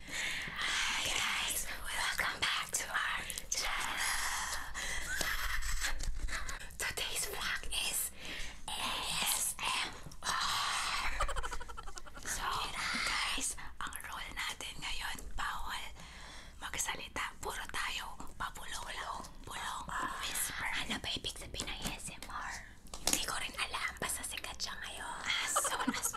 Hi guys, welcome back to our channel. Today's vlog is ASMR. so guys, ang role natin ngayon, bawal magsalita. Puro tayo papulong-pulong. Pulong, Ano ba ibig sabihin ng ASMR? Hindi ko rin alam. Basta sikat siya ngayon. Ah, as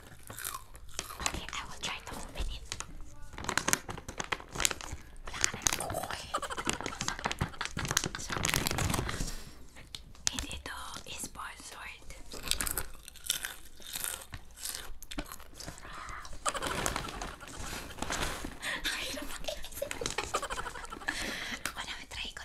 Okay, I will try to open it. Boy. so, and uh, is sponsored. Ay, naman. Ako naman, try ko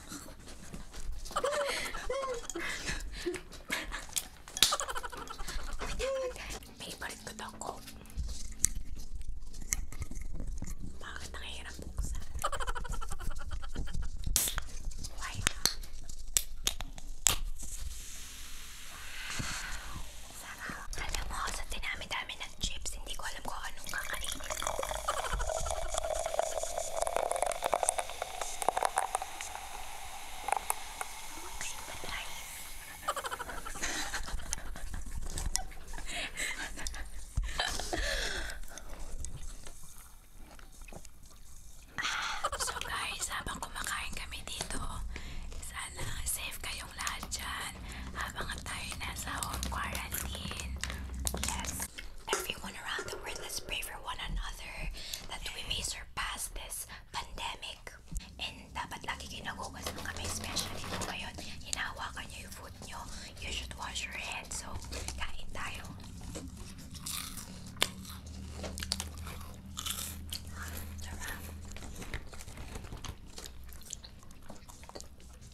Favorite ko daw ko. Bakit nakahirap buksan? Why not? Sarap. Alam mo, sa dinami-dami ng ah, so guys, habang kumakain kami dito, sana safe kayong lahat dyan habang tayo nasa home quarantine. Yes, everyone. around the world. Let's pray for one another that we may surpass this pandemic. And dapat lagi kayo nagugas ng kamay, especially kung ngayon hinahawakan nyo food nyo. You should wash your hands. So, kain tayo. Sarap.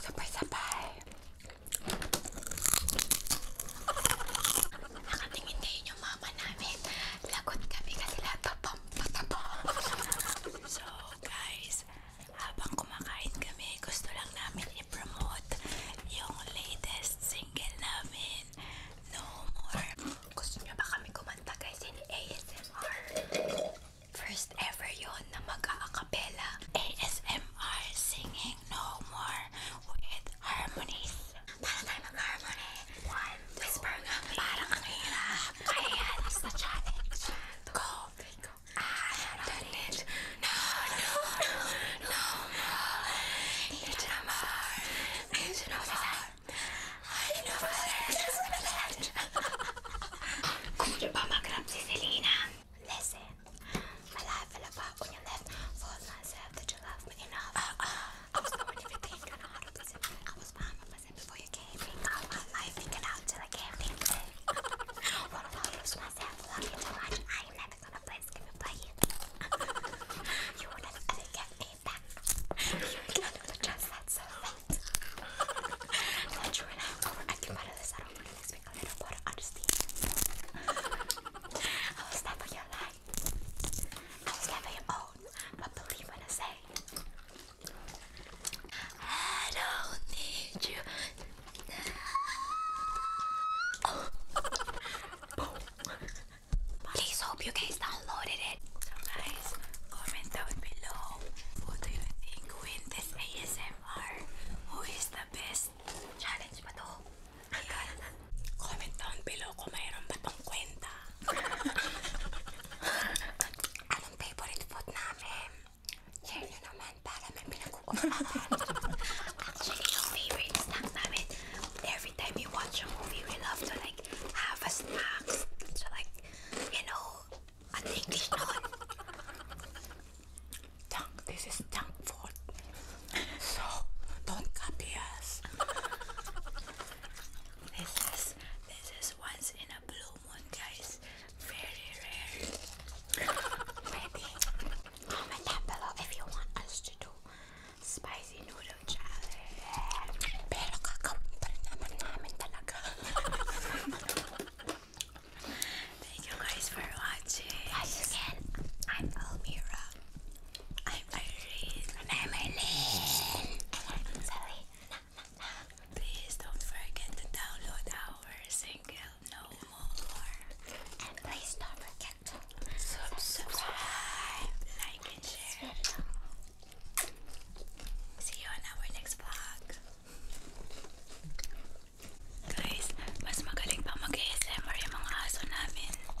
Sabay-sabay. Nakatingin kayo yung mama namin. Lagot kami kasi lahat tapang-patapang. So guys, habang kumakain kami, gusto lang namin i-promote yung latest single namin. No more. Gusto niyo ba kami kumanta guys in ASMR? First ever yon na mag-a-acapella ASMR singing no more with harmonies. Para tayo mag-harmony. One, two, Whisper nga, parang ang hirap. Ah? Kaya, it's the challenge. Go. I have done it. No, no, no, no more. It's no more. It's no more. Ay, no Could you mama grab Celina? Listen, my life fell apart when you left. For myself, did you love me enough? Uh. I was doing know how I was fine with myself before you came. Think out my life, figured I can't think I lose myself? Love you too much. I am never gonna play this game you play it. you will never ever get me hate that. You cannot adjust that so I'm not sure this. I don't want to speak a little about honesty. I will stand your life. I will stand your own. But believe when I say, I don't need you. Please hope you guys downloaded it. So guys, comment down below. What do you think win this ASMR? Who is the best? Challenge ba to? Comment down below kung mayroon ba tong kwenta. Anong favorite food namin? Share nyo naman para may pinag-uusapan. Actually, yung favorite snack namin, they're every time you watch a movie, we love to like have a snack, so like you know, an English nut. Junk. This is junk food, so don't copy us. this is this is once in a blue moon, guys. Very rare. comment down below if you want us to do spicy noodle challenge. Pero kakawin pa rin naman Thank you guys for watching. Again, I'm Almira. I'm Irene. I'm Eileen. I'm Zoe. Please don't forget to download our single No More. And please don't forget to subscribe, like, and share. See you on our next vlog. Guys, mas magaling pa mag-ASMR yung mga aso namin.